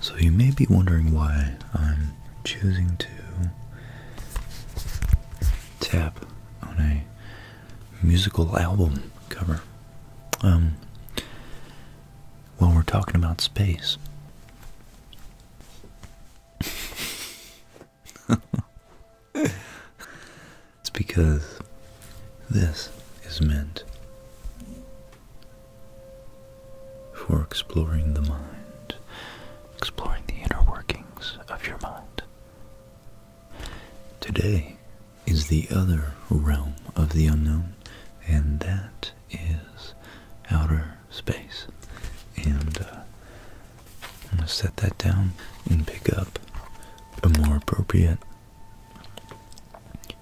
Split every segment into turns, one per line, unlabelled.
So, you may be wondering why I'm choosing to tap on a musical album cover um, while we're talking about space it's because this is meant for exploring the mind, exploring the inner workings of your mind. Today is the other realm of the unknown, and that is outer space. And uh, I'm going to set that down and pick up a more appropriate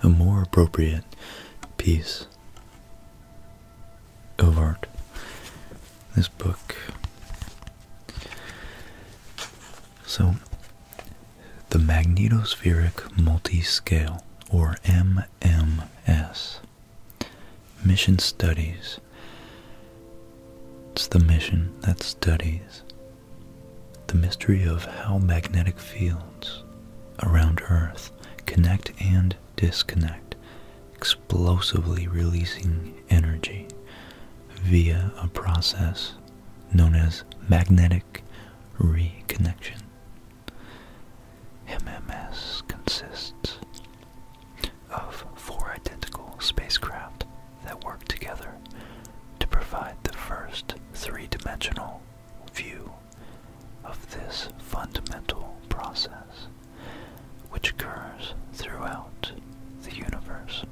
a more appropriate piece of art. This book. So, the magnetospheric multiscale, or MMS, Mission studies. It's the mission that studies the mystery of how magnetic fields around Earth connect and disconnect, explosively releasing energy via a process known as magnetic reconnection. MMS consists of four identical spacecraft that work together to provide the first three-dimensional view of this fundamental process, which occurs throughout the universe.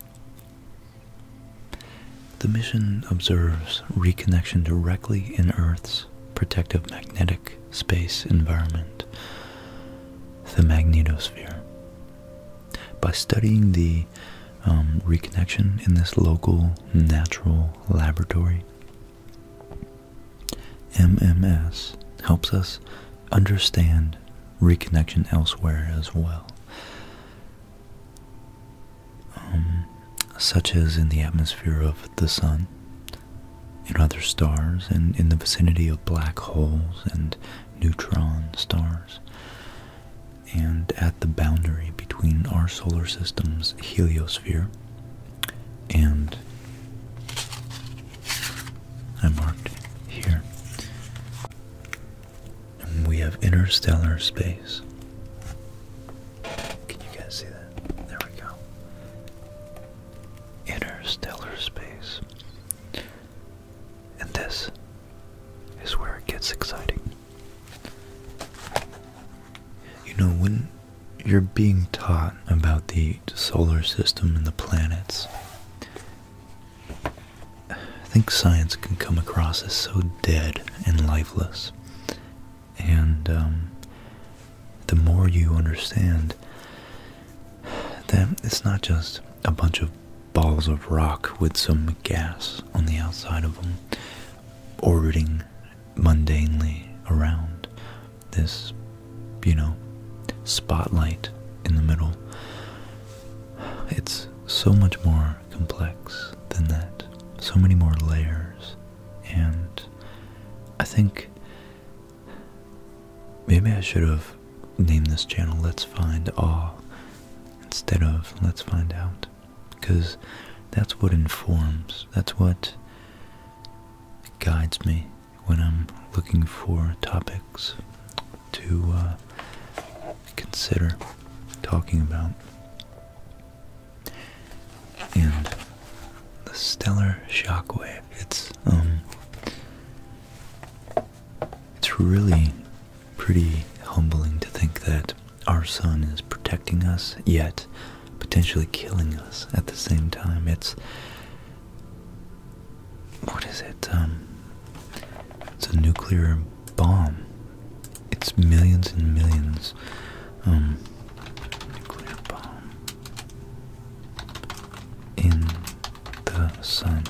The mission observes reconnection directly in Earth's protective magnetic space environment, the magnetosphere. By studying the um, reconnection in this local natural laboratory, MMS helps us understand reconnection elsewhere as well, um, such as in the atmosphere of the sun, in other stars and in the vicinity of black holes and neutron stars, and at the boundary between our solar system's heliosphere and I marked here. we have interstellar space. Can you guys see that? There we go interstellar space. And this is where it gets exciting. You know, when you're being taught about the solar system and the planets, I think science can come across as so dead and lifeless. And um, the more you understand that it's not just a bunch of balls of rock with some gas on the outside of them orbiting mundanely around this, you know, spotlight in the middle. It's so much more complex than that, so many more layers, and I think Maybe I should have named this channel Let's Find Awe instead of Let's Find Out. Because that's what informs, that's what guides me when I'm looking for topics to uh, consider talking about. And the stellar shockwave. It's um it's really pretty humbling to think that our sun is protecting us yet potentially killing us at the same time. It's what is it? Um it's a nuclear bomb. It's millions and millions. Um nuclear bomb in the sun.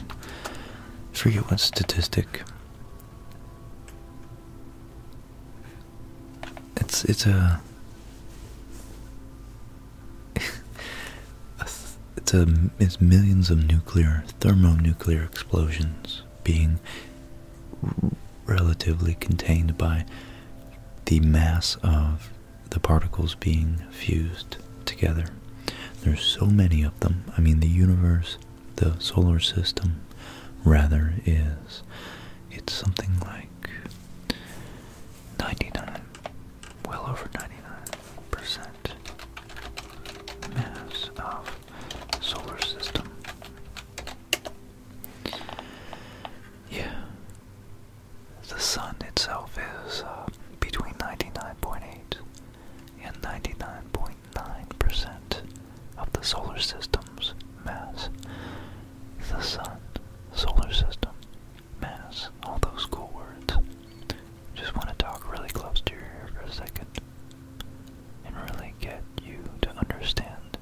I forget what statistic. It's it's a it's a it's millions of nuclear thermonuclear explosions being relatively contained by the mass of the particles being fused together. There's so many of them. I mean, the universe, the solar system, rather, is. It's something like 99, well over 99% mass of solar system. Yeah. The sun itself is uh, between 99.8 and 99.9% of the solar system's mass. The sun, solar system, mass, all those cool words. Just want to talk really close to your ear for a second and really get you to understand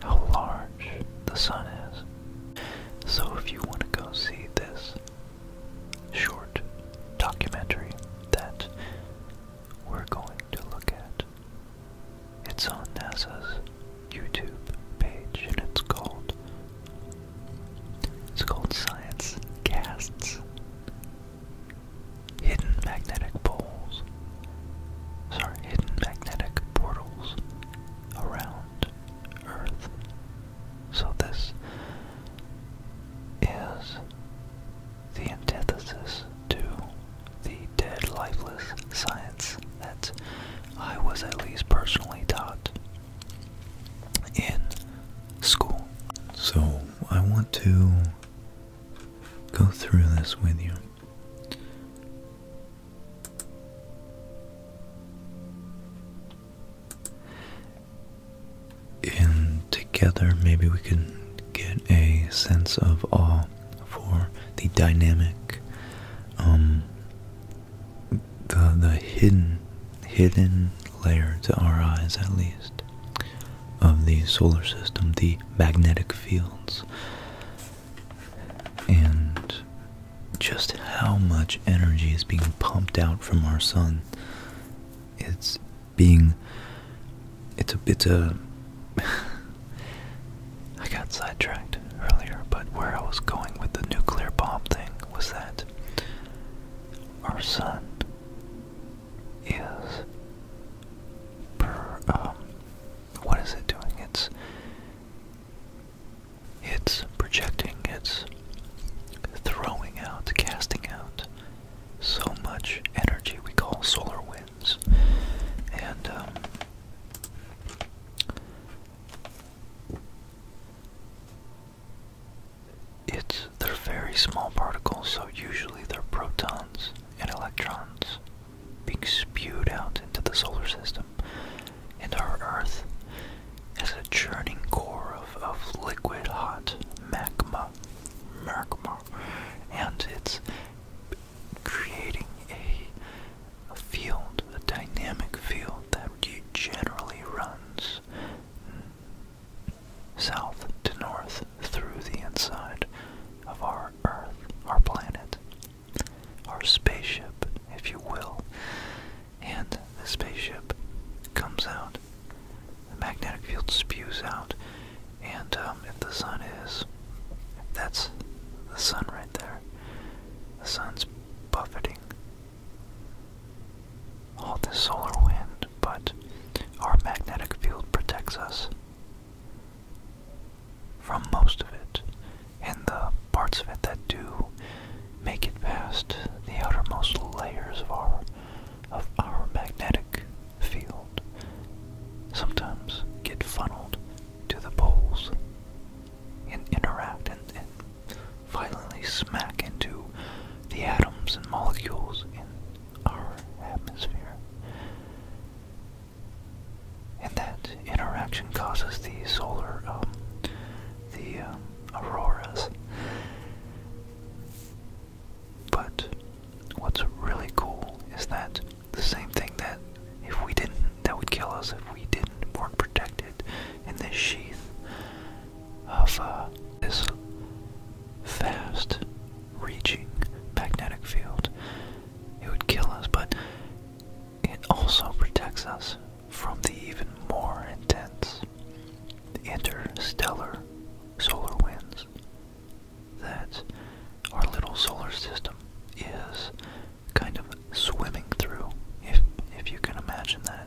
how large the sun is. So, if you want to go see this short documentary that we're going to look at, it's on NASA's YouTube page and it's called it's called Science Casts Hidden Magnetic Poles sorry, hidden magnetic portals around Earth. So this is the antithesis to the dead lifeless science that I was at least personally taught in school. So I want to go through this with you. And together, maybe we can get a sense of awe for the dynamic, um, the the hidden, hidden layer to our eyes, at least, of the solar system, the magnetic fields, and just how much energy is being pumped out from our sun. It's being it's a bit—I got sidetracked earlier, but where I was going with the nuclear bomb thing was that our sun is per um, what is it doing? It's it's projecting, it's throwing out, casting out so much energy we call solar winds. And um, it's they're very small particles, so usually they're protons and electrons being spewed out into the solar system and our Earth has a churning core of, of liquid hot magma, magma, and it's creating a field, a dynamic field that generally runs south to north through the inside of our Earth, our planet our spaceship, if you will. And the spaceship comes out, the magnetic field spews out, and um, if the sun is, that's the sun right there. The sun's buffeting all this solar wind, but our magnetic field protects us from most of it, and the parts of it that do make it past the outermost layers of our of our magnetic field sometimes get funneled to the poles and interact and, and violently smack into the atoms and molecules in our atmosphere and that interaction causes the solar, um, the um, auroras. But what's really cool is that the same thing that if we didn't, that would kill us if we didn't were protected in this sheath of uh, this fast-reaching magnetic field. It would kill us, but it also protects us from the even more intense interstellar solar winds that our little solar system is kind of swimming through, if, if you can imagine that,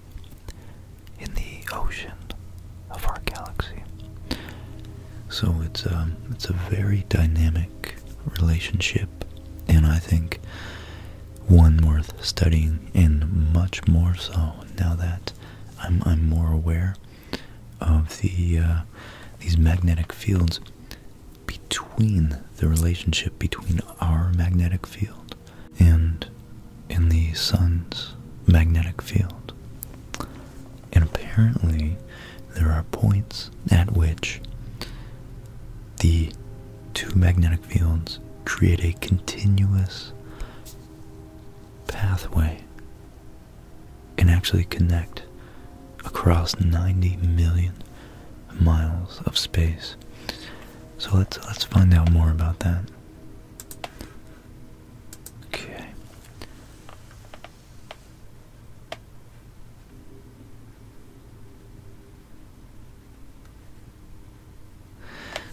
in the ocean of our galaxy. So it's, um, it's a very dynamic relationship, and I think one worth studying, and much more so now that I'm more aware of the uh, these magnetic fields between the relationship between our magnetic field and in the sun's magnetic field. And apparently, there are points at which the two magnetic fields create a continuous pathway and actually connect across 90 million miles of space. So let's let's find out more about that. Okay.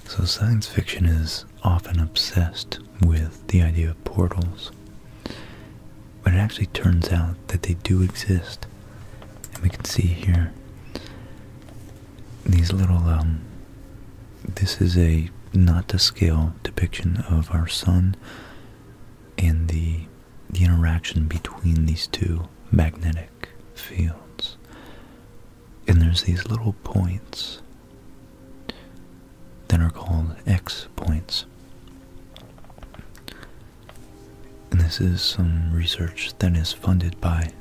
So, science fiction is often obsessed with the idea of portals, but it actually turns out that they do exist. And we can see here these little, um, this is a not to scale depiction of our sun and the the interaction between these two magnetic fields. And there's these little points that are called X points. And this is some research that is funded by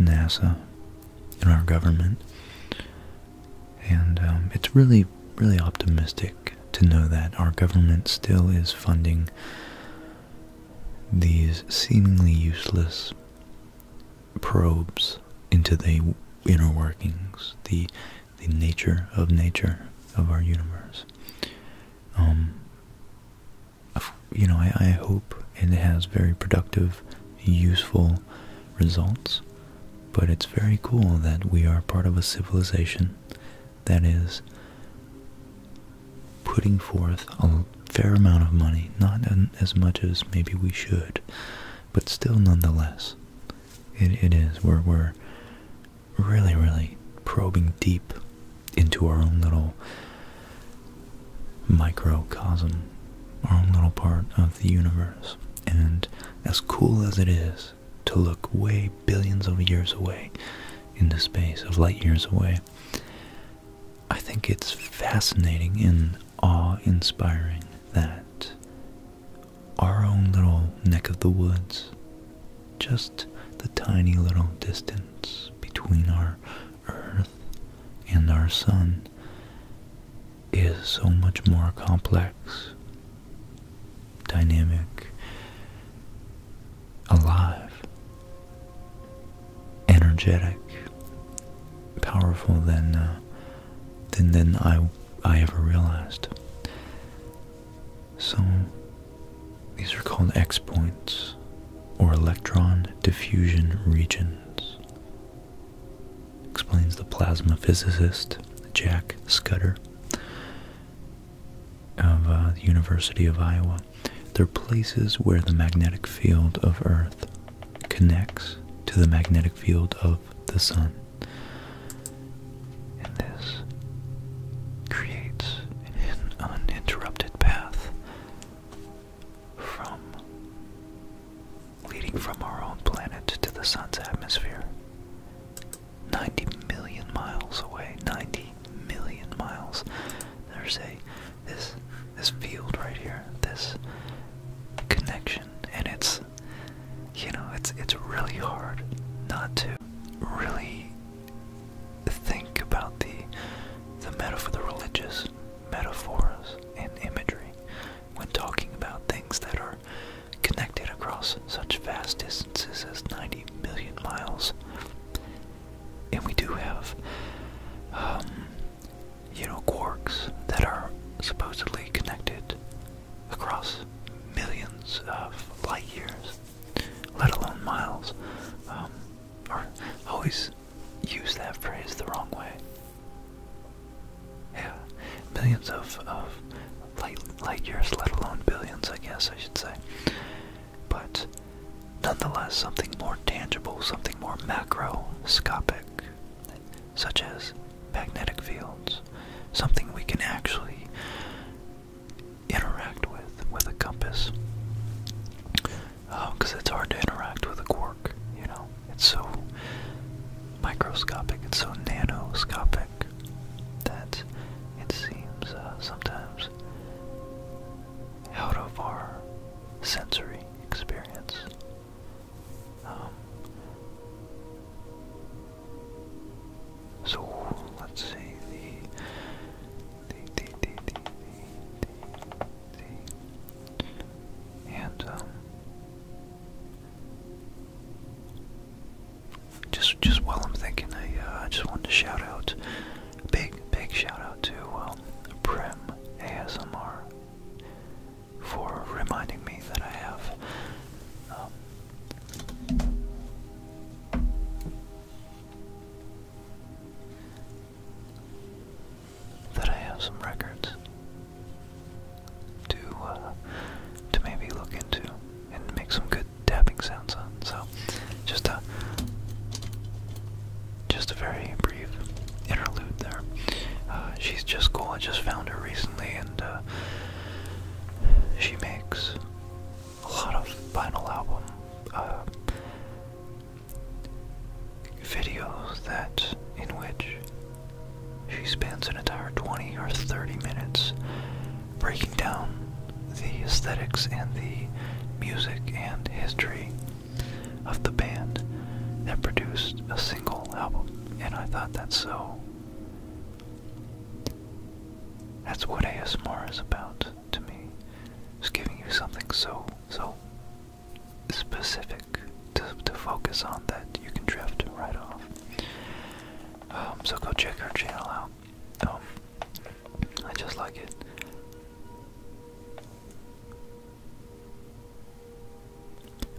NASA and our government. And um, it's really, really optimistic to know that our government still is funding these seemingly useless probes into the inner workings, the the nature of nature of our universe. Um, you know, I hope it has very productive, useful results, but it's very cool that we are part of a civilization that is putting forth a fair amount of money, not as much as maybe we should, but still nonetheless. it is. We're, we're really, really probing deep into our own little microcosm, our own little part of the universe. And as cool as it is to look way billions of years away into space, of light years away. I think it's fascinating and awe-inspiring that our own little neck of the woods, just the tiny little distance between our Earth and our Sun, is so much more complex dynamic, alive, energetic, powerful than uh, than than I I ever realized. So these are called X points or electron diffusion regions. Explains the plasma physicist Jack Scudder of uh, the University of Iowa. They're places where the magnetic field of Earth connects to the magnetic field of the Sun. And this creates an uninterrupted path from leading from our own planet to the Sun's atmosphere. 90 million miles away. 90 million miles. There's a this this field right here. This connection, and it's you know it's it's really hard not to really think about the the metaphor, the religious metaphors and imagery when talking about things that are connected across such vast distances distances as 90 million miles. And we do have, um, you know, quarks that are supposedly connected across millions of light years, let alone miles. Um, or always use that phrase the wrong way. Yeah, millions of, of light, light years, let alone billions, I guess I should say but nonetheless something more tangible, something more macroscopic, such as magnetic fields, something we can actually interact with, with a compass. Because uh, oh, it's hard to interact with a quark, you know? It's so microscopic, it's so nanoscopic that it seems uh, sometimes out of our sensory experience. Um, so let's see the the the the the the, and um, just just while I'm thinking, uh, I just wanted to shout out, big big shout out to um, Prim ASMR for reminding me that I have. Um, that I have some records to uh, to maybe look into and make some good tapping sounds on. So, just a just a very brief interlude there. Uh, she's just cool. I just found her recently, and uh, she makes a lot of vinyl album uh, videos that in which she spends an entire 20 or 30 minutes breaking down the aesthetics and the music and history of the band that produced a single album. And I thought that's so. That's what ASMR is about to me. It's giving you something so, so specific to, to focus on that you can drift right off. Um, so go check our channel out. Um, I just like it.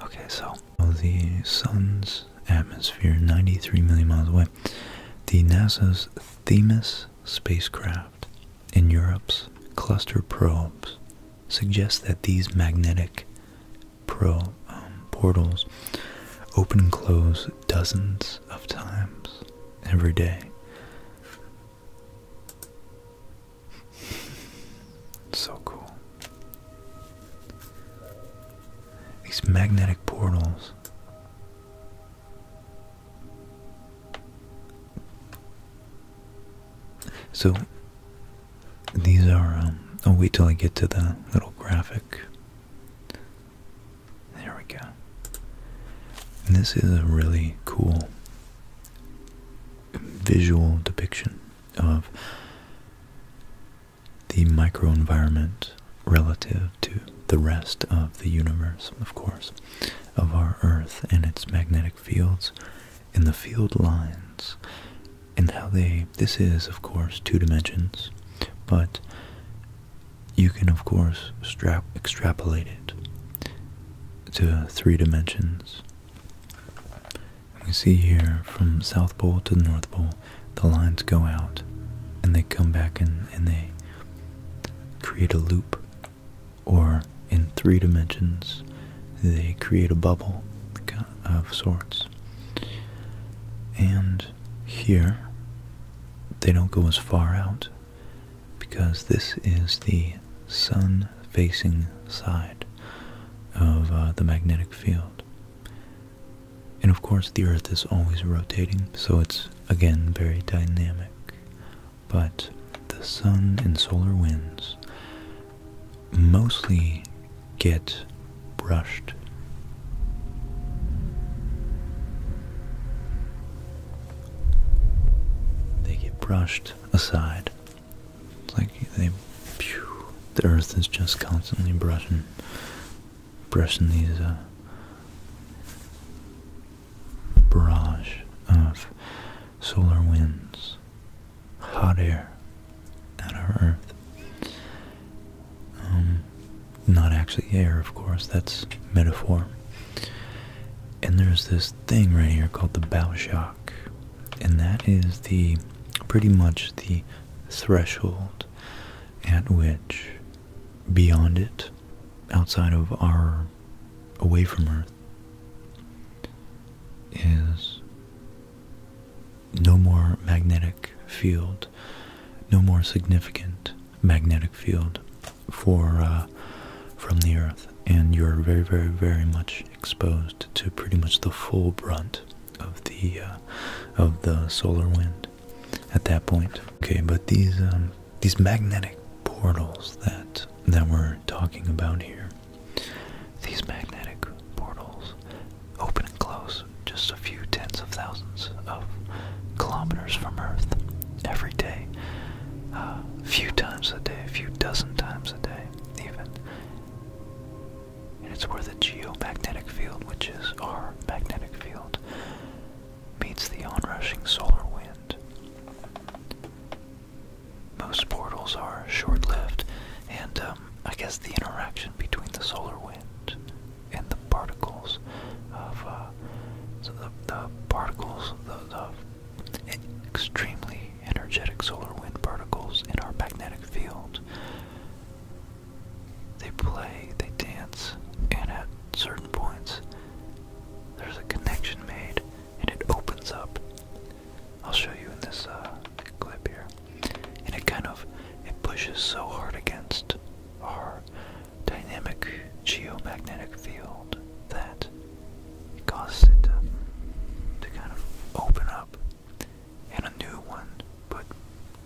Okay, so the sun's atmosphere 93 million miles away. The NASA's Themis spacecraft and Europe's cluster probes suggest that these magnetic um, portals open and close dozens of times every day. So cool. These magnetic portals. So these are. Um, I'll wait till I get to the little graphic. There we go. this is a really cool visual depiction of the microenvironment relative to the rest of the universe, of course, of our Earth and its magnetic fields and the field lines and how they, this is, of course, two dimensions, but you can, of course, extrapolate it to three dimensions. And we see here from South Pole to North Pole, the lines go out and they come back and, and they create a loop, or in three dimensions, they create a bubble of sorts. And here, they don't go as far out because this is the sun facing side of uh, the magnetic field. And of course, the Earth is always rotating, so it's again very dynamic. But the sun and solar winds mostly get brushed they get brushed aside. It's like they, the earth is just constantly brushing, brushing these uh, barrage of solar winds, hot air out of Earth. Um, not actually air, of course, that's metaphor. And there's this thing right here called the bow shock, and that is the pretty much the threshold at which beyond it, outside of our away from Earth, is no more magnetic field, no more significant magnetic field for uh, from the Earth, and you're very, very, very much exposed to pretty much the full brunt of the uh, of the solar wind at that point. Okay, but these um, these magnetic portals that that we're talking about here, these magnetic portals open and close just a few tens of thousands of kilometers from Earth every day, a uh, few times a day, a few dozen times a day, even. And it's where the geomagnetic field, which is our magnetic field, meets the onrushing solar wind. Most portals are short lived, and um, I guess the interaction between the solar wind and the particles of uh, the, the particles, the, the extremely energetic solar wind particles in our magnetic field. They play, they dance, and at certain points there's a connection made and it opens up. I'll show you in this uh, clip here. And it kind of, it pushes so hard against our dynamic geomagnetic field that causes it to, kind of open up and a new one but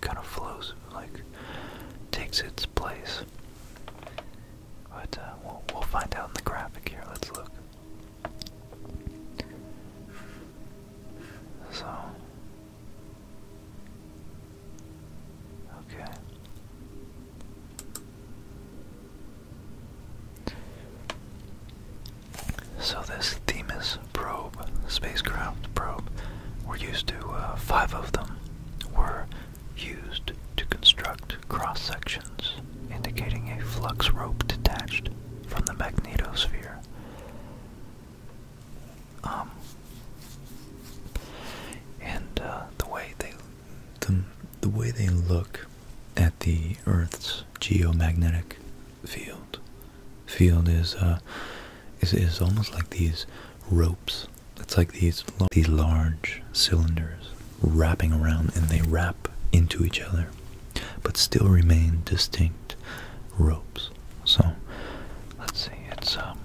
kind of flows like takes its place uh, we'll, we'll find out in the graphic here let's look so Okay. So this Themis probe, spacecraft probe, were used to, uh, five of them were used to construct cross sections indicating a flux rope detached from the magnetosphere. Um, and uh, the way they the, the way they look at the Earth's geomagnetic field field is uh, is is almost like these ropes. It's like these these large cylinders wrapping around, and they wrap into each other, but still remain distinct ropes. So let's see. It's um,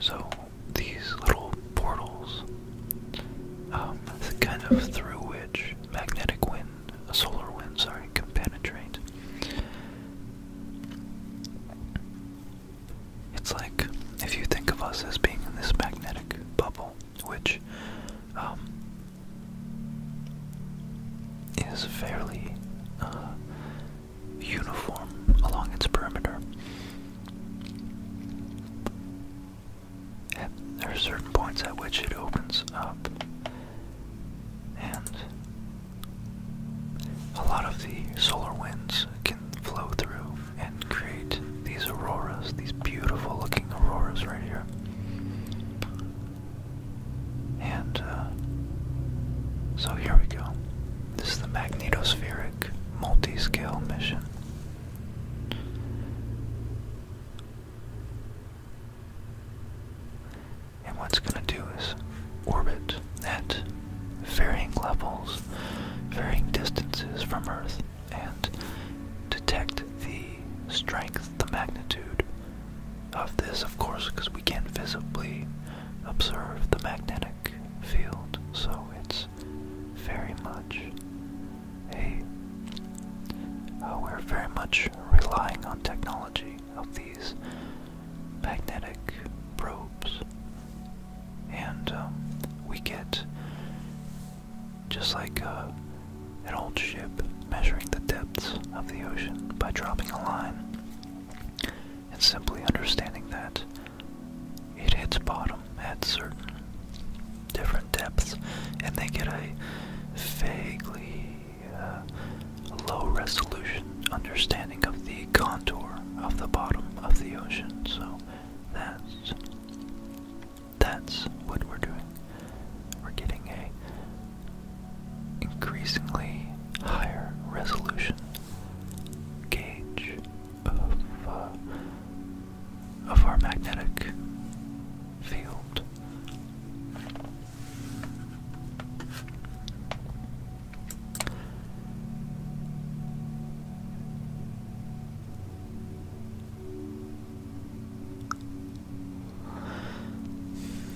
so these little portals, um, the kind of through which magnetic wind, a solar wind, sorry, can penetrate. It's like if you think of us as being in this magnetic bubble, which um, is fairly uh, uniform along its perimeter. there are certain points at which it opens up, and a lot of the solar winds can flow through and create these auroras, these beautiful looking auroras right here. And uh, so here we go. This is the magnetospheric multi mission. And what's going to do is orbit at varying levels, varying distances from Earth, and detect the strength, the magnitude of this, of course, because we can't visibly observe the magnetic field, so it's very much a. Uh, we're very much relying on technology of these magnetic probes, and um, we get just like uh, an old ship measuring the depths of the ocean by dropping a line and simply understanding that it hits bottom at certain different depths and they get a vaguely uh, low resolution understanding of the contour of the bottom of the ocean so that's that's what we're doing. We're getting a increasingly higher resolution gauge of uh, of our magnetic field.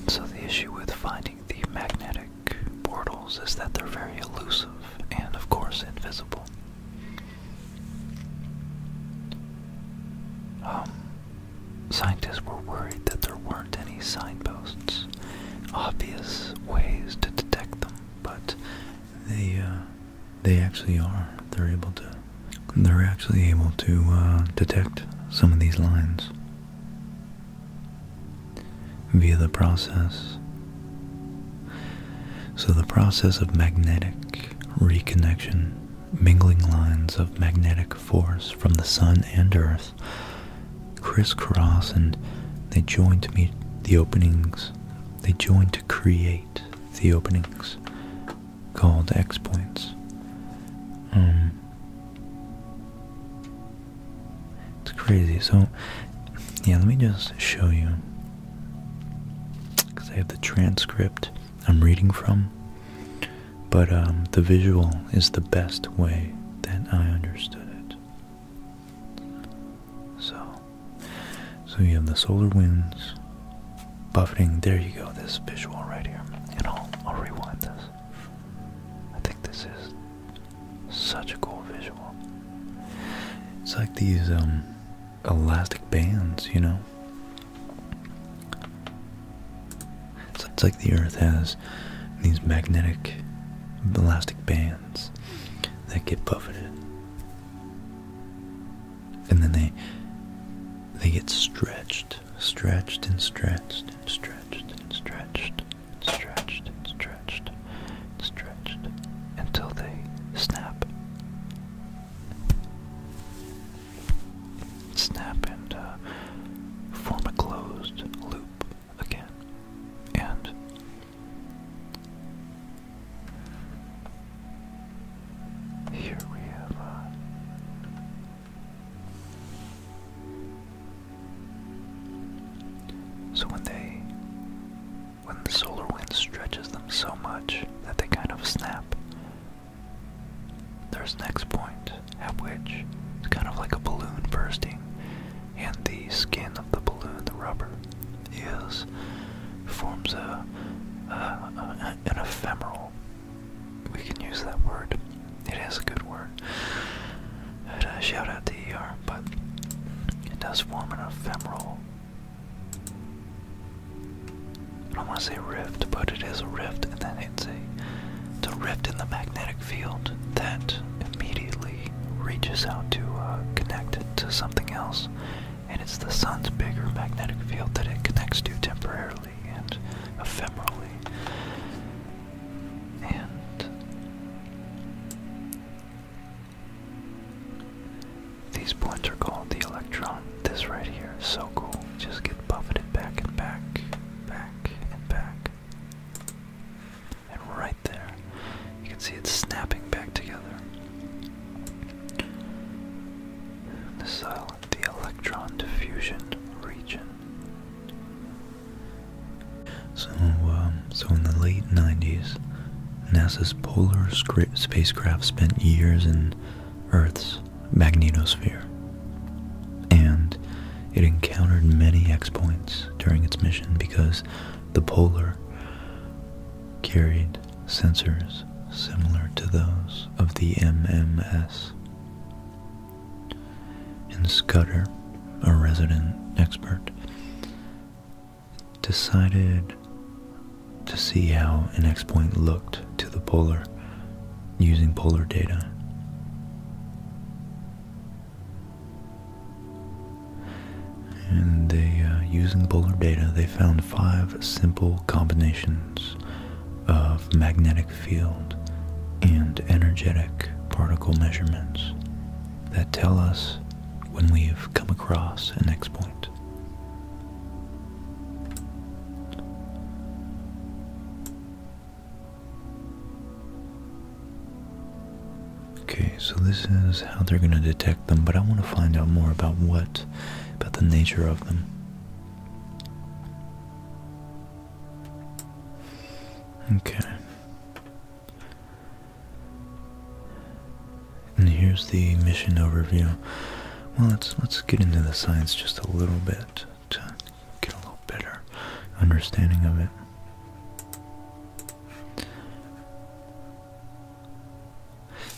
So, the issue with finding the magnetic portals is that they're very elusive and, of course, invisible. Um, scientists were worried that there weren't any signposts, obvious ways to detect them, but they, uh, they actually are. They're able to they're actually able to uh, detect some of these lines via the process. So the process of magnetic reconnection, mingling lines of magnetic force from the sun and earth crisscross and they join to meet the openings. They join to create the openings called X-Points. Um, it's crazy. So, yeah, let me just show you. Because I have the transcript I'm reading from. But um, the visual is the best way that I understood it. So, so you have the solar winds, buffeting. There you go. This visual right here, and I'll I'll rewind this. I think this is such a cool visual. It's like these um elastic bands, you know. It's, like the Earth has these magnetic elastic bands that get buffeted, and then they they get stretched stretched and stretched and stretched and stretched and stretched and stretched and stretched until they snap. Snap and uh, form a closed loop again. And here we have uh, so when they when the solar wind stretches them so much that they kind of snap, there's next point at which it's kind of like a balloon bursting, and the skin of the balloon, the rubber, is forms a an ephemeral we can use that word. It is a good word. Uh, shout out to but it does form an ephemeral. I don't want to say rift, but it is a rift, and then it's a, rift in the magnetic field that immediately reaches out to uh, connect to something else. And it's the sun's bigger magnetic field that it connects to temporarily naturally and ephemerally. And these points are called the electron. This right here is so cool. Just get buffeted back and back, back and back. And right there, you can see it snapping back together. This island the electron diffusion region. So, um, so in the late 90s, NASA's polar spacecraft spent years in Earth's magnetosphere, and it encountered many X points during its mission because the polar carried sensors similar to those of the MMS. And Scudder, a resident expert, decided to see how an X point looked to the polar using polar data. And they, uh, using polar data, they found five simple combinations of magnetic field and energetic particle measurements that tell us when we've come across an X point. Okay, so this is how they're going to detect them, but I want to find out more about what, about the nature of them. Okay. And here's the mission overview. Well, let's let's get into the science just a little bit to get a little better understanding of it.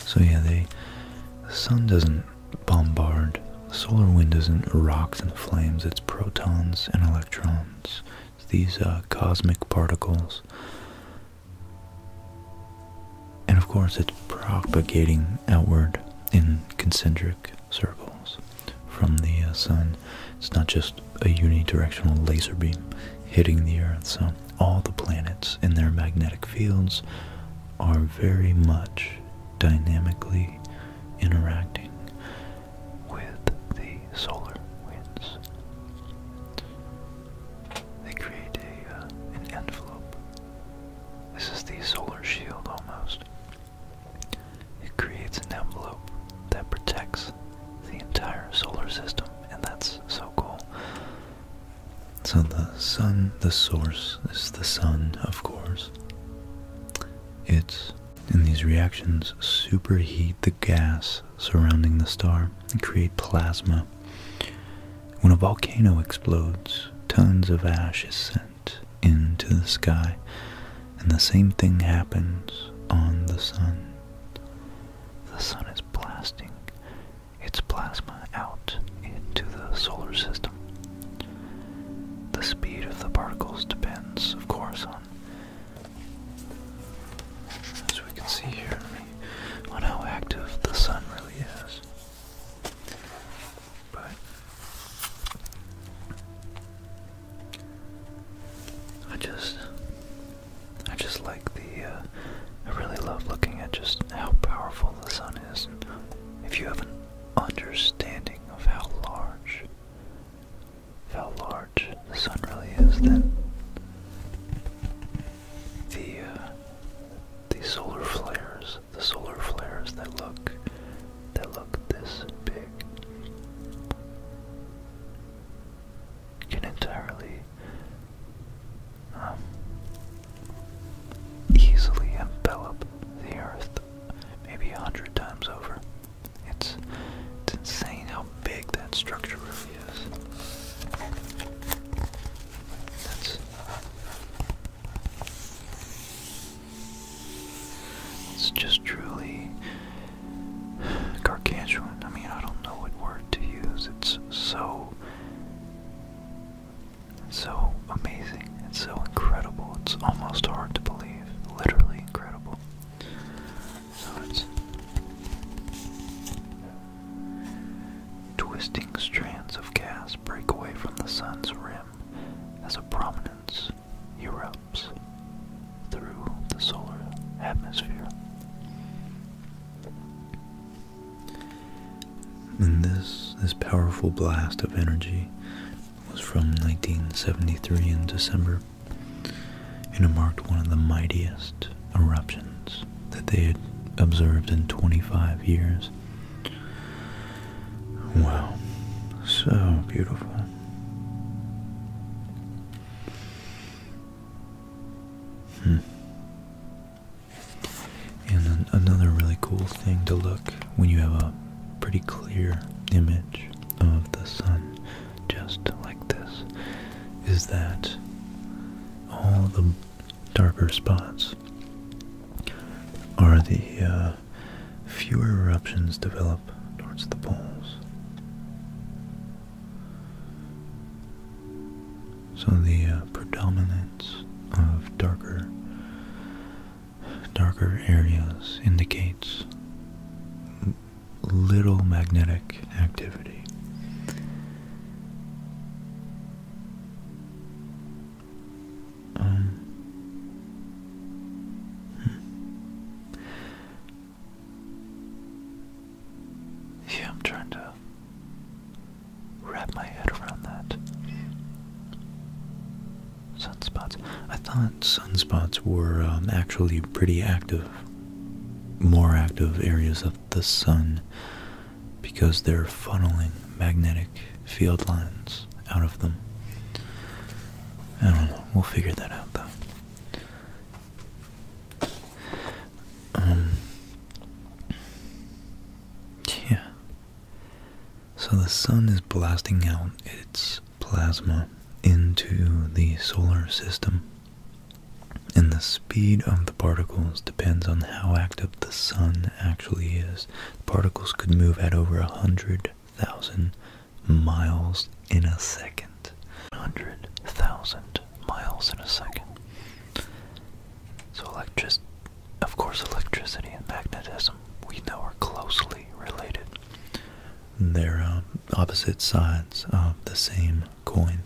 So yeah, the sun doesn't bombard solar wind is not rocks and flames its protons and electrons these uh, cosmic particles and of course it's propagating outward in concentric circles from the uh, sun it's not just a unidirectional laser beam hitting the earth so all the planets in their magnetic fields are very much dynamically interacting with the solar winds. They create a, uh, an envelope. This is the solar shield almost. It creates an envelope that protects the entire solar system, and that's so cool. So the sun, the source is the sun, of course. It's in these reactions, superheat the gas surrounding the star and create plasma. When a volcano explodes, tons of ash is sent into the sky, and the same thing happens on the sun. The sun is blasting its plasma out into the solar system. The speed of the particles depends, of course, on, as we can see here, on how active the sun really is. But I just, I just like the. Uh, I really love looking at just how powerful the sun is. If you haven't understanding of how large how large the sun really is, then the uh, the solar flares, the solar flares that look that look this big can entirely um, easily envelop the Earth, maybe a hundred times over. It's insane how big that structure really is. That's it's just truly gargantuan. I mean, I don't know what word to use. It's so it's so amazing. It's so incredible. It's almost hard to believe. Literally incredible. So it's twisting strands of gas break away from the sun's rim as a prominence erupts through the solar atmosphere. And this this powerful blast of energy was from 1973 in December, and it marked one of the mightiest eruptions that they had observed in 25 years. Wow, so beautiful. Hmm. And an another really cool thing to look when you have a pretty clear image of the sun, just like this, is that all the darker spots are the uh, fewer eruptions develop towards the poles. So the uh, predominance of darker darker areas indicates little magnetic activity. Um, hmm. yeah, I'm trying to wrap my head around that. Sunspots. I thought sunspots were um, actually pretty active, more active areas of the sun because they're funneling magnetic field lines out of them. I don't know. We'll figure that out though. Um. Yeah. So the sun is blasting out its plasma into the solar system. And the speed of the particles depends on how active the sun actually is. Particles could move at over 100,000 miles in a second. 100,000 miles in a second. So electric of course, electricity and magnetism we know are closely related. They're um, opposite sides of the same coin.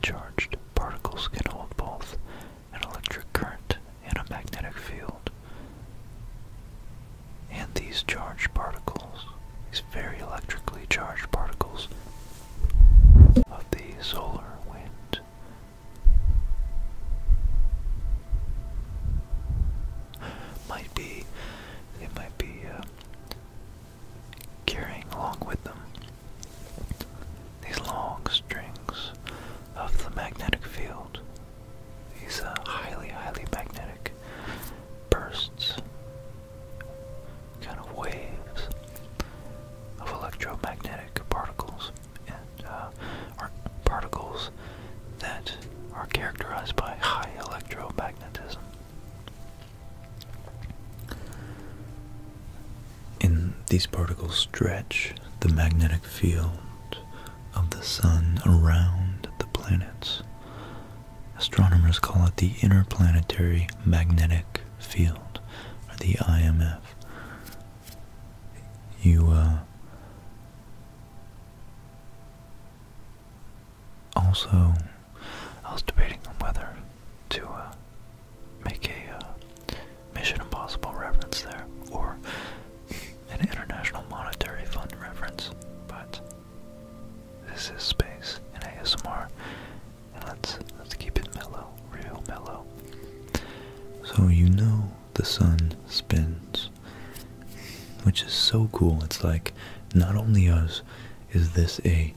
charged particles can hold both an electric current and a magnetic field. And these charged particles, these very electrically charged particles of the solar, wind, might be it might be uh, carrying along with them these long strings of the magnetic field these uh, highly highly magnetic bursts kind of waves of electromagnetic particles and uh, are particles that are characterized by high electromagnetism. these particles stretch the magnetic field of the sun around the planets. Astronomers call it the interplanetary magnetic field, or the IMF you uh, also I was debating on whether to uh, make a uh, Mission Impossible reference there or an International Monetary Fund reference, but this is space and ASMR, and let's let's keep it mellow, real mellow. So you know the sun spins, which is so cool. It's like not only us is this a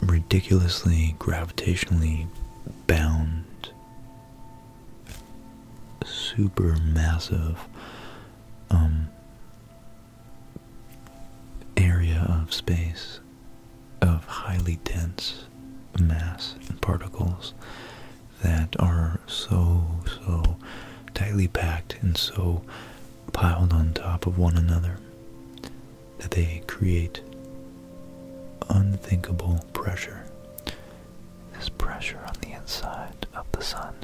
ridiculously gravitationally bound, super massive um, area of space of highly dense mass and particles that are so, so tightly packed and so piled on top of one another that they create unthinkable pressure. This pressure on the inside of the sun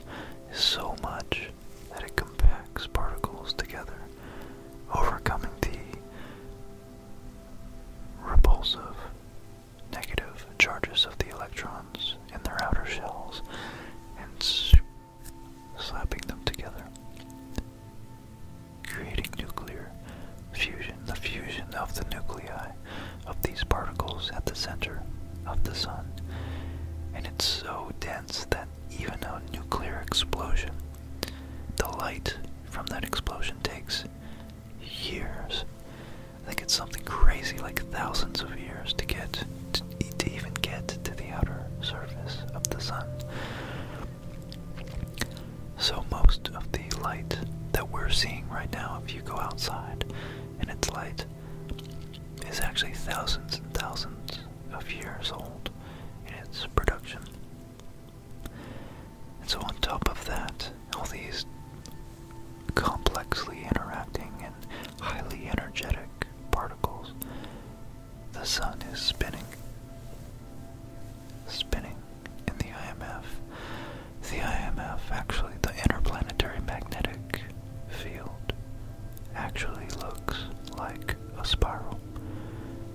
is so much that it compacts particles together, overcoming the repulsive negative charges of the electrons in their outer shells and slapping them together, creating nuclear fusion, the fusion of the nuclei of these particles at the center of the sun. And it's so dense that even a nuclear explosion, the light from that explosion takes years. I think it's something crazy, like thousands of years, to get to, to even get to the outer surface of the sun. So most of the light that we're seeing right now, if you go outside and it's light, is actually thousands and thousands of years old in its production. And so, on top of that, all these complexly interacting and highly energetic particles, the sun is spinning. Spinning in the IMF. The IMF, actually, the interplanetary magnetic field, actually looks like a spiral.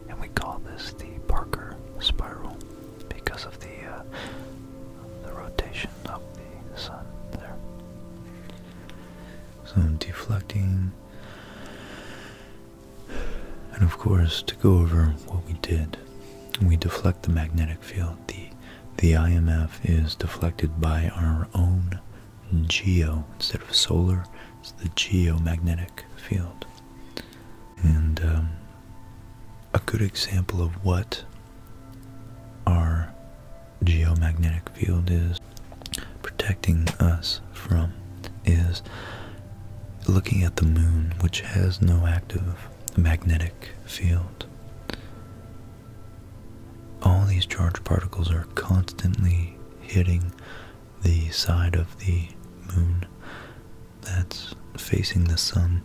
And we call this the Parker spiral because of the uh, the rotation of the sun there. So I'm deflecting, and of course to go over what we did, we deflect the magnetic field. the The IMF is deflected by our own geo instead of solar. It's the geomagnetic field. And um, a good example of what our geomagnetic field is protecting us from is looking at the moon, which has no active magnetic field. All these charged particles are constantly hitting the side of the moon that's facing the sun.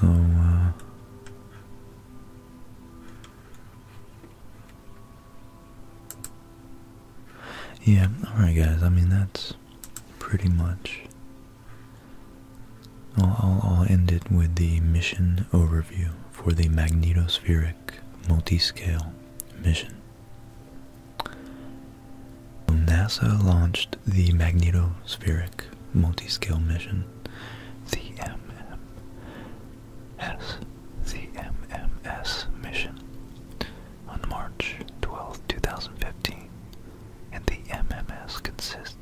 So, uh, yeah, alright guys, I mean that's pretty much I'll, I'll, end it with the mission overview for the magnetospheric multiscale mission. NASA launched the magnetospheric multiscale mission, the MMS, the MMS mission, on March 12, 2015, and the MMS consists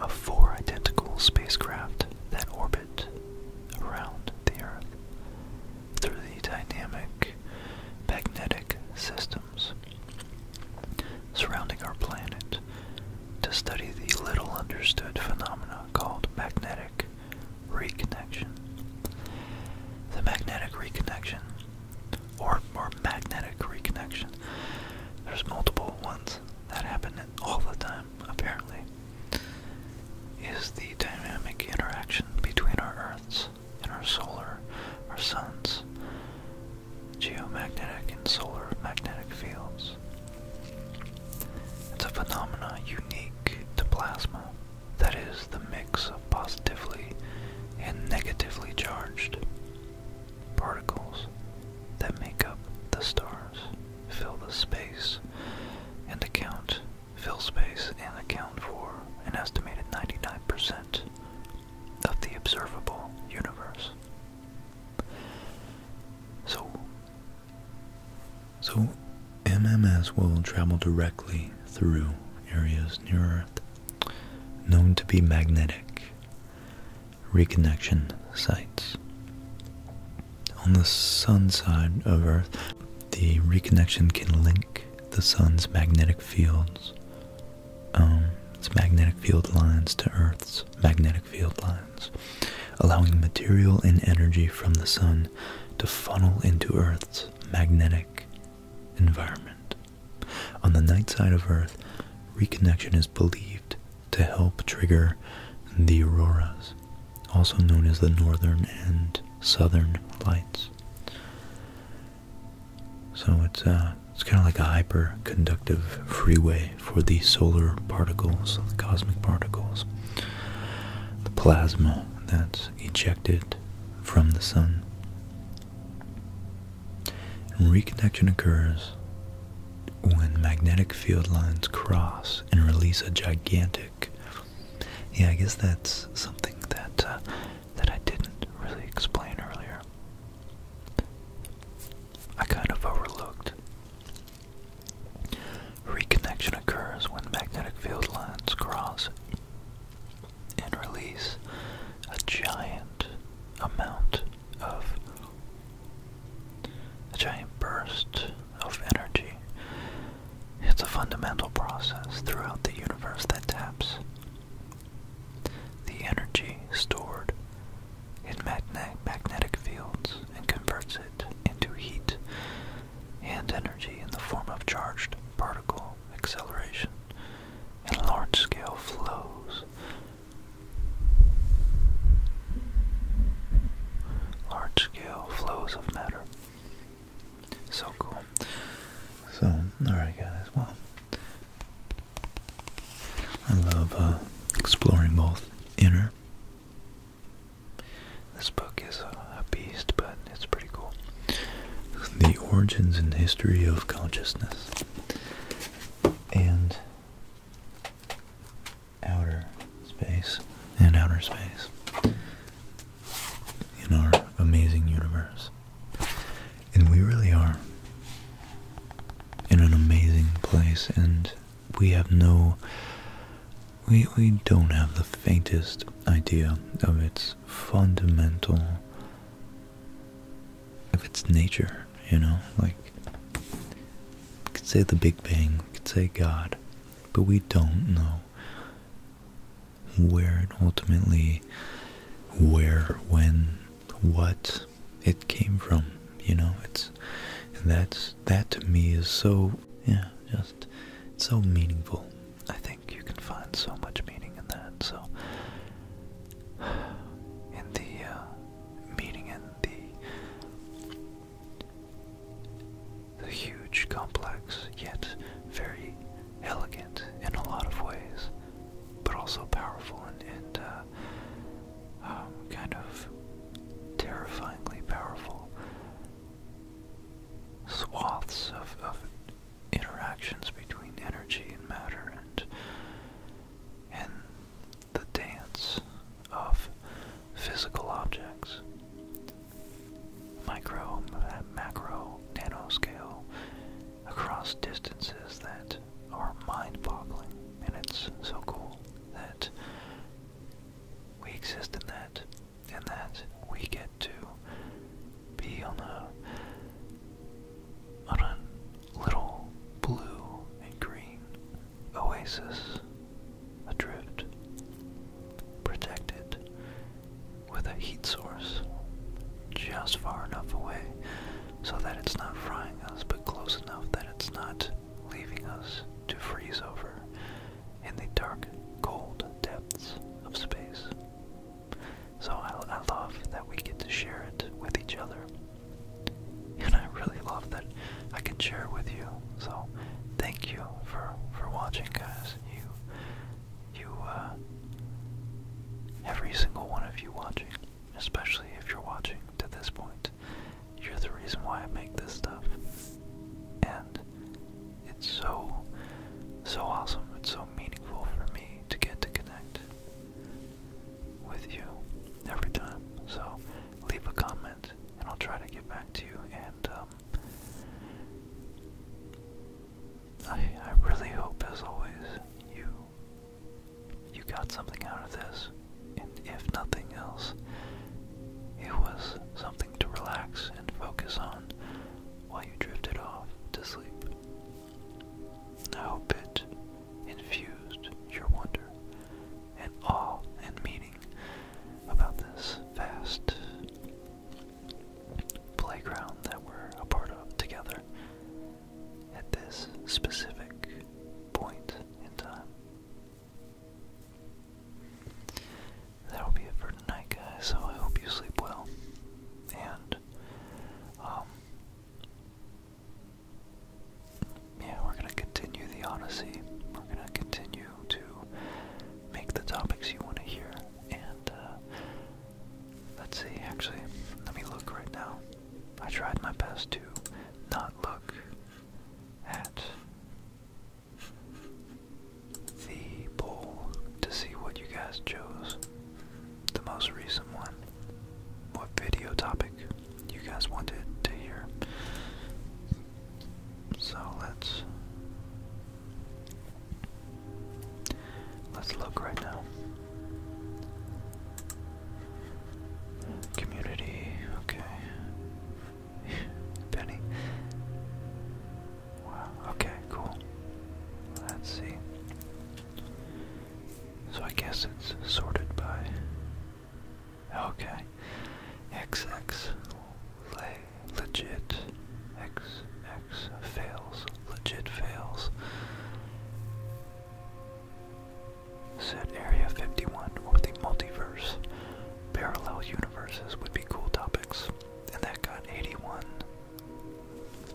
of four identical spacecraft that orbit around the Earth through the dynamic magnetic systems surrounding our planet to study the little understood phenomena called magnetic reconnection. The magnetic reconnection or, or magnetic reconnection. There's multiple ones that happen all the time, apparently. Is the dynamic interaction between our Earths and our solar, our suns, geomagnetic and solar magnetic fields. It's a phenomena unique to plasma, that is, the mix of positively and negatively charged Particles that make up the stars fill the space and account fill space and account for an estimated 99% of the observable universe. So so MMS will travel directly through areas near Earth known to be magnetic reconnection sites. On the sun side of Earth, the reconnection can link the sun's magnetic fields, um, its magnetic field lines to Earth's magnetic field lines, allowing material and energy from the sun to funnel into Earth's magnetic environment. On the night side of Earth, reconnection is believed to help trigger the auroras, also known as the northern and southern lights. So it's uh, it's kind of like a hyper conductive freeway for the solar particles, the cosmic particles, the plasma that's ejected from the sun reconnection occurs when magnetic field lines cross and release a gigantic. Yeah, I guess that's something that uh, that I didn't really explain earlier. I kind of overlooked. Reconnection occurs when magnetic field lines cross and release a giant amount of a giant burst of energy. It's a fundamental process throughout the universe that taps the energy stored in magnetic fields and converts it into heat and energy in the form of charged particle acceleration and large scale flows large scale flows of matter. So cool. So, alright, guys, well, I love uh, exploring both inner. This book is a beast, but it's pretty cool. The origins and history of consciousness. And outer space and outer space in our amazing universe. And we really are in an amazing place and we have no we we don't have the faintest idea of its fundamental if it's nature, you know, like we could say the Big Bang, we could say God, but we don't know where it ultimately, where, when, what it came from, you know, it's, and that's, that to me is so, yeah, just, so meaningful. I think you can find so much meaning in that, so, in the, uh, meeting in the huge, complex, yet very elegant in a lot of ways, but also powerful and, uh, um, kind of terrifyingly powerful swaths of, interactions between energy and matter and the dance of physical objects. Micro, uh, macro, nanoscale, across distances that are mind boggling. And it's so cool that we exist in that, and that we get to be on a a little blue and green oasis adrift, protected with a heat source just far enough away so that it's not frying us, but close enough that it's not leaving us to freeze over in the dark, cold depths of space. So I love that we get to share it with each other. and I really love that I can share with you. So thank you for for watching, guys. You you uh, every single one of you watching, especially if you're watching to this point, you're the reason why I make this stuff, and it's so so awesome. It's so meaningful for me to get to connect with you every time. So leave a comment and I'll try to get back to you. And um, I, I really hope, as always, you you got something out of this. And if nothing else, it was something to relax and focus on while you drifted off to sleep. I hope it infused your wonder and awe and meaning about this vast playground that we're a part of together at this specific point in time. That'll be it for tonight, guys. So I hope you sleep well, and um, yeah, we're going to continue the Odyssey. We're going to continue to make the topics you want to hear. And, uh, let's see, actually, let me look right now. I tried my best to not look at the poll to see what you guys chose the most recent one, what video topic you guys wanted to hear. So let's let's look right now. Community, okay. Penny. Wow, okay, cool. Let's see. So I guess it's sorted by. Okay. XX lay legit. XX fails. Legit fails. Set Area 51 or the multiverse. Parallel universes would be cool topics. And that got 81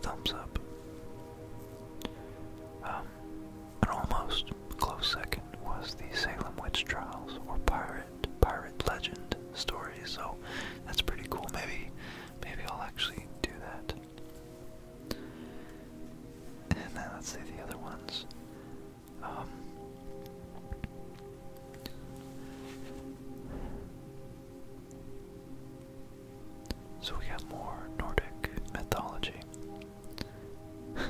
thumbs up. Um, and almost close second was the Salem Witch Trials or Pirate Pirate Legend stories. so that's pretty cool. Maybe maybe I'll actually do that. And then let's see the other ones. Um, so we got more Nordic mythology.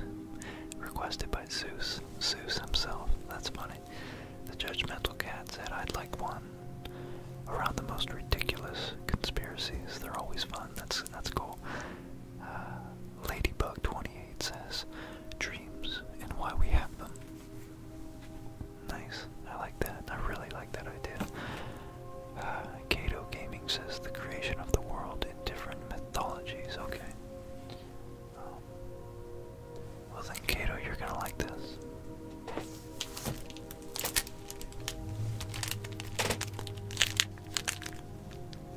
Requested by Zeus, Zeus himself, that's funny. The judgmental cat said, I'd like one. Around the most ridiculous conspiracies, they're always fun, that's, that's cool. Uh, Ladybug28 says, dreams and why we have them. Nice, I like that, I really like that idea. Uh, Kato Gaming says the creation of the world in different mythologies. Okay. Um, well then, Kato, you're gonna like this.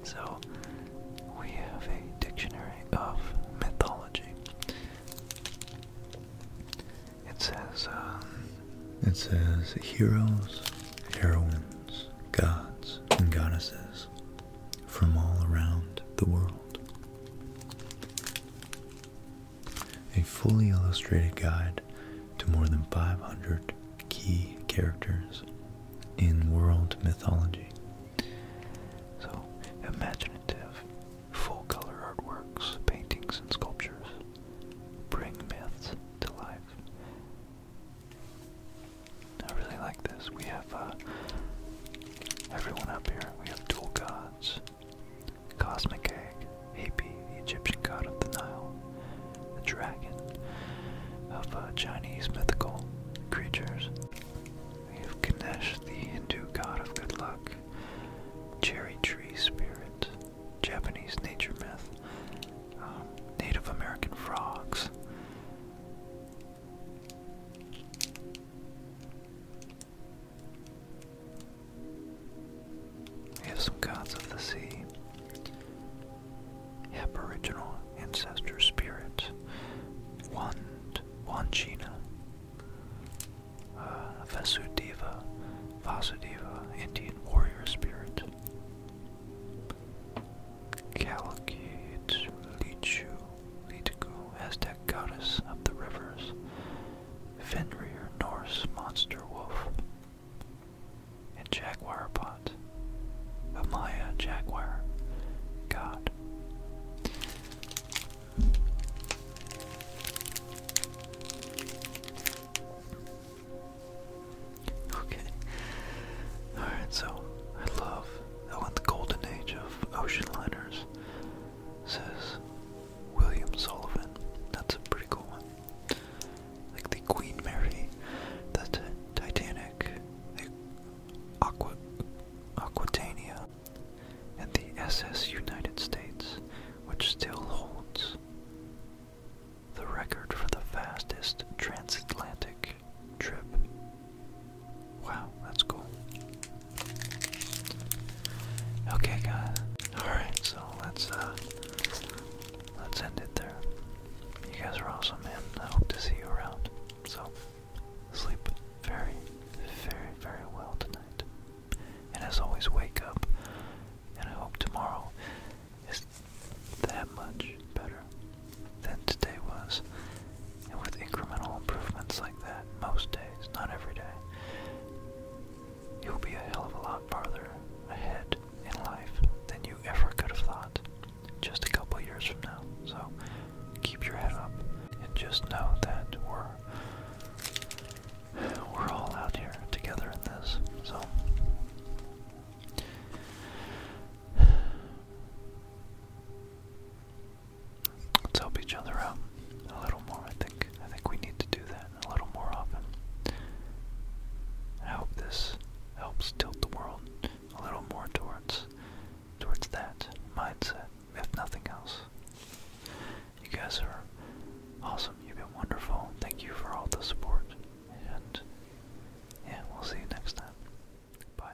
So, we have a dictionary of mythology. It says, um, it says heroes, heroines, gods, and goddesses from all around the world. A fully illustrated guide to more than 500 key characters in world mythology. So, imaginative, full color artworks, paintings, and sculptures bring myths to life I really like this. We have uh, everyone up here. We have dual gods. Cosmic Egg, AP, the Egyptian god of the Nile, the dragon of uh, Chinese mythical creatures. We have Ganesh, the Hindu god of good luck, cherry tree spirit, Japanese nature myth, um, Native American frogs. We have some gods of the sea, Aboriginal ancestor spirit, Wand, Wanchina, uh, Vasudeva, Indian warrior spirit, Calicate, Lichu, Litigu, Aztec goddess of the rivers, Fenrir, Norse monster wolf, and Jaguar pot, Amaya Jaguar, god. Okay. Alright, so I love how in the golden age of ocean liners says William Sullivan. That's a pretty cool one. Like the Queen Mary, the Titanic, the Aquatania, and the SS United States, which still holds the record for the fastest transatlantic trip. Wow, that's cool. Okay, guys. All right, so let's uh, let's end it there. You guys are awesome, man. I hope to see you around. So sleep very, very, very well tonight. And as always, wake up. And I hope tomorrow is that much better than today was. And with incremental improvements like that, most days, not every day, you'll be a hell of a lot farther ahead in life than you ever could have thought just a couple years from now. So keep your head up and just know that we're we're all out here together in this. So Let's help each other out a little more. I think I think we need to do that a little more often. I hope this helps tilt the world a little more towards towards that mindset, We have nothing else. You guys are awesome. You've been wonderful. Thank you for all the support. And yeah, we'll see you next time. Bye.